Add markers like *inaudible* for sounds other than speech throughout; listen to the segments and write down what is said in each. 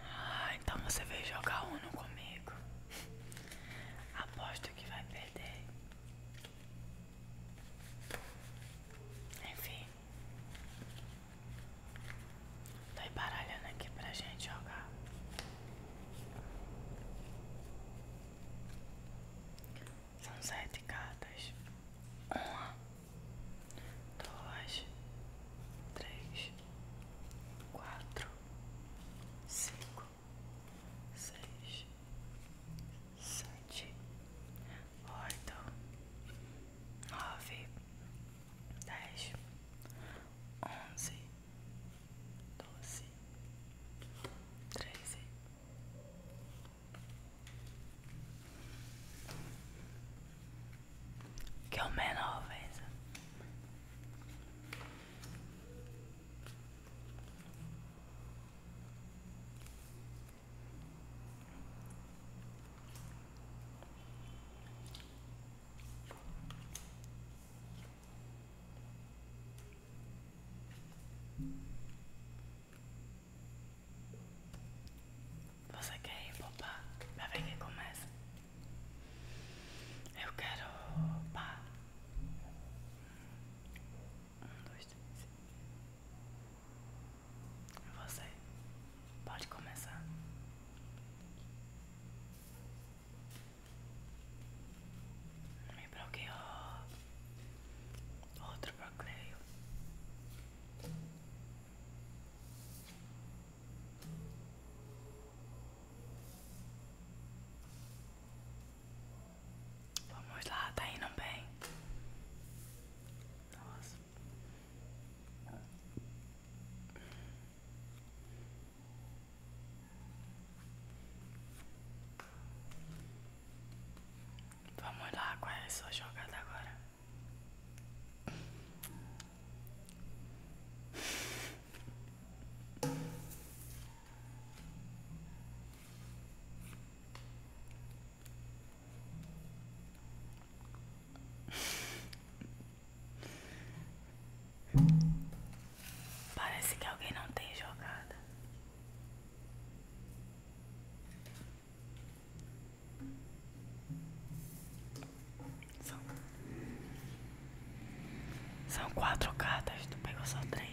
Ah, então você veio jogar Uno comigo. Aposto que vai perder. Enfim. Tô embaralhando aqui pra gente jogar. São sete cartas. Uma dois, três, quatro, cinco, seis, sete, oito, nove, dez, onze, doze, treze. Que é o menor, você quer ir poupar? Pra ver quem começa. Eu quero pá. Um, dois, três. Você pode começar. Me bloqueou outro bloqueio. Vamos lá, tá indo bem. Vamos lá, qual é a sua jogada agora? Parece que alguém não tem jogada. São, quatro cartas, tu pegou só três.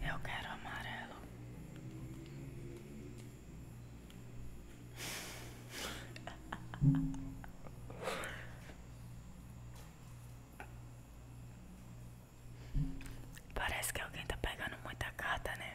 Eu quero amarelo. Parece que alguém está pegando muita carta, né?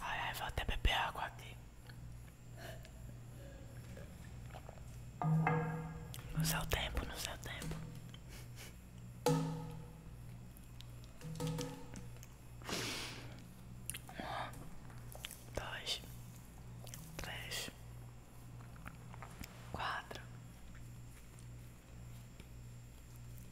Ai, vou até beber água aqui. No seu tempo, no seu tempo. Um, dois, três, quatro.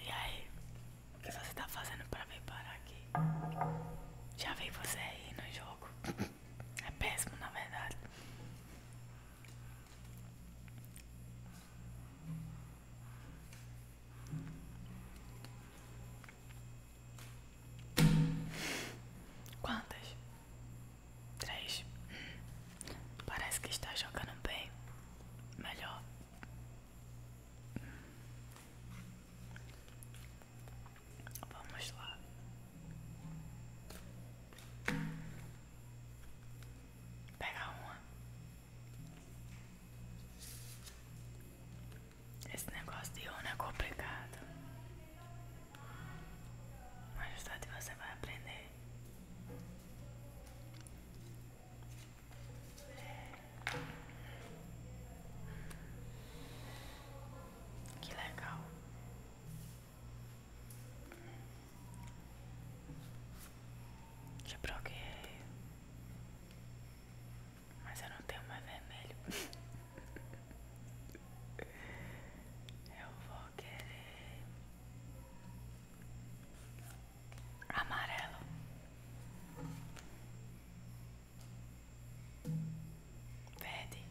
E aí? O que você tá fazendo pra vir parar aqui? Já vi você aí no jogo. É péssimo, na verdade. Quantas? Três. Hum. Parece que está jogando bem. Melhor. Vamos lá. pegar uma. Esse negócio de urna é complicado. Mas tarde você vai aprender. Que legal. Já troquei. Mas eu não tenho mais vermelho. *laughs* Eu vou querer amarelo. Verde.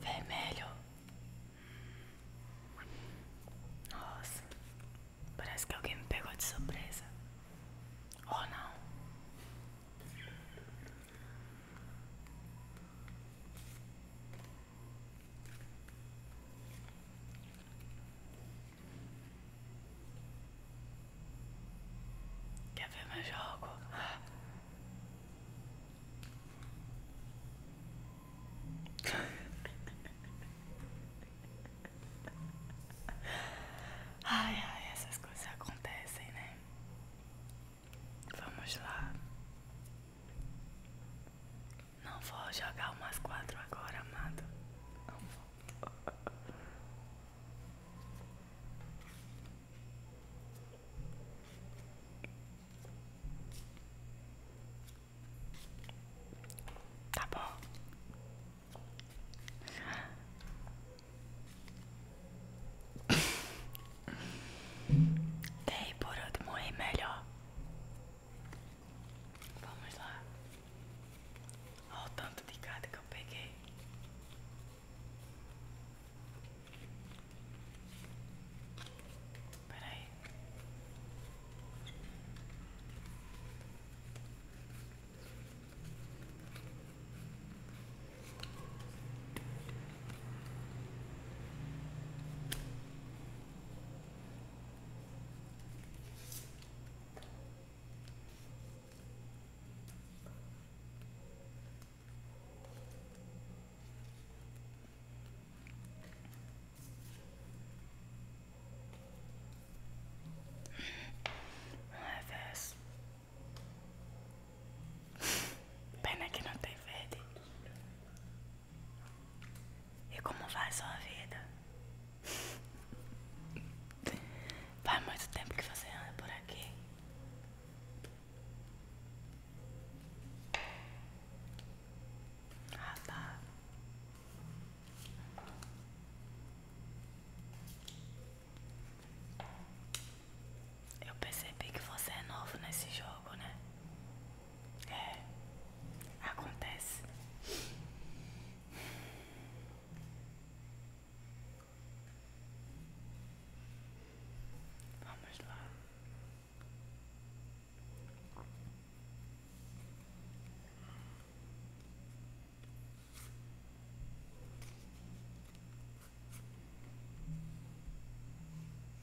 Vermelho. Nossa. Parece que alguém me pegou de surpresa. Ou não. Quer ver mais jogo? Ai, ai, essas coisas acontecem, né? Vamos lá. Não vou jogar umas quatro agora, amado. Não vou. Tá bom. Dei por último e melhor. Vamos lá. Olha o tanto de gato que eu peguei. Peraí. Pena que no te vedi. E como vai sua vida? Faz muito tempo que você anda por aqui. Ah, tá. Eu percebi que você é novo nesse jogo, né? É, acontece. Vamos lá.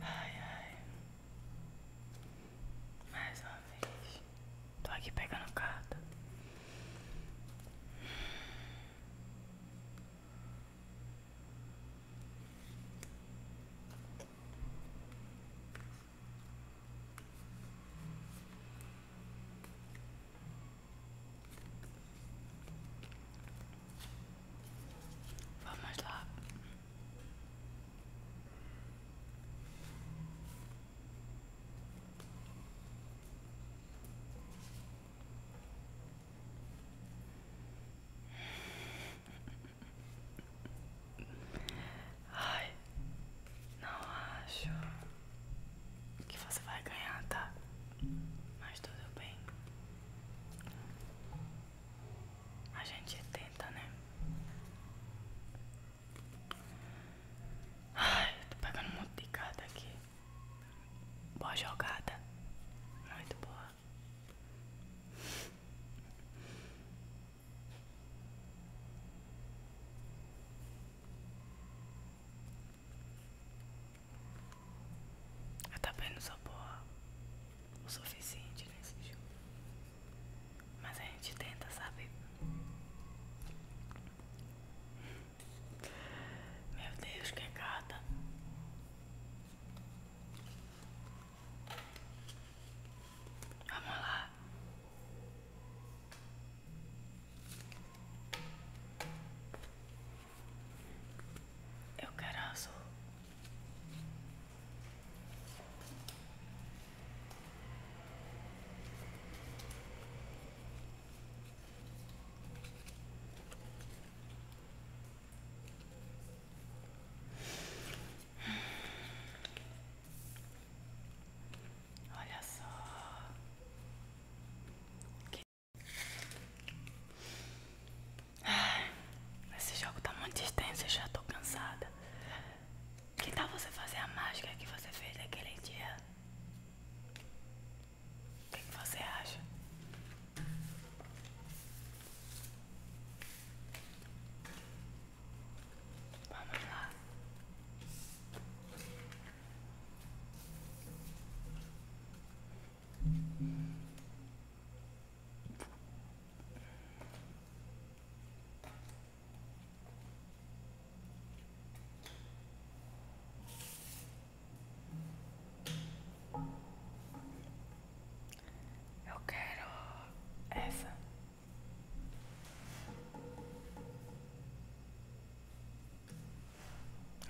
Ai, ai. Mais uma vez. Tô aqui pegando carta. Vamos lá. Ai, não acho que você vai ganhar, tá? Mas tudo bem. A gente tenta, né? Ai, tô pegando um monte de carta aqui. Boa jogada. Muito boa. Eu também não sou boa o suficiente nesse jogo. Mas a gente tenta, sabe? Meu Deus, que gata. Vamos lá. Eu quero azul. Olha só esse jogo tá muito extenso, eu já tô cansada. Que tal você fazer a mágica que você fez naquele dia? O que você acha? Vamos lá. Eu quero essa.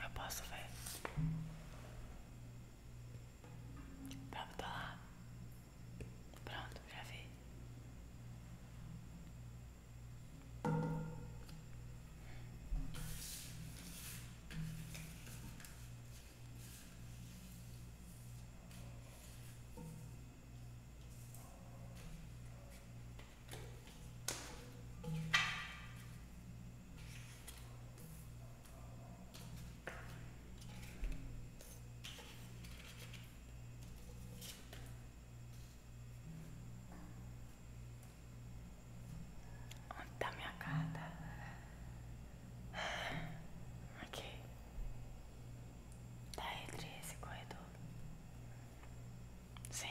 Eu posso ver. Pronto, tá lá. Pronto, já vi. Onde tá minha carta? Aqui. Tá entre esse corredor. Sim.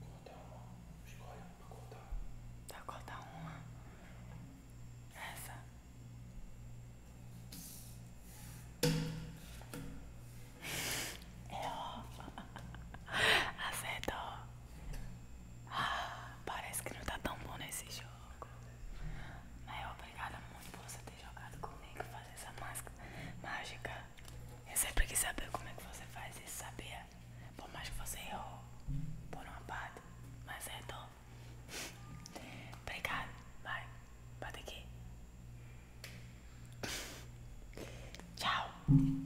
Corta uma, escolha para cortar. Tá, corta uma. Essa. *laughs* É ó. *laughs* Acertou. Ah, parece que não tá tão bom nesse jogo. Mas obrigada muito por você ter jogado comigo fazer essa máscara mágica. Eu sempre quis saber como é que você faz isso, sabia? Por mais que você errou por uma parte, mas é acertou. obrigada. Vai, bate aqui. Tchau.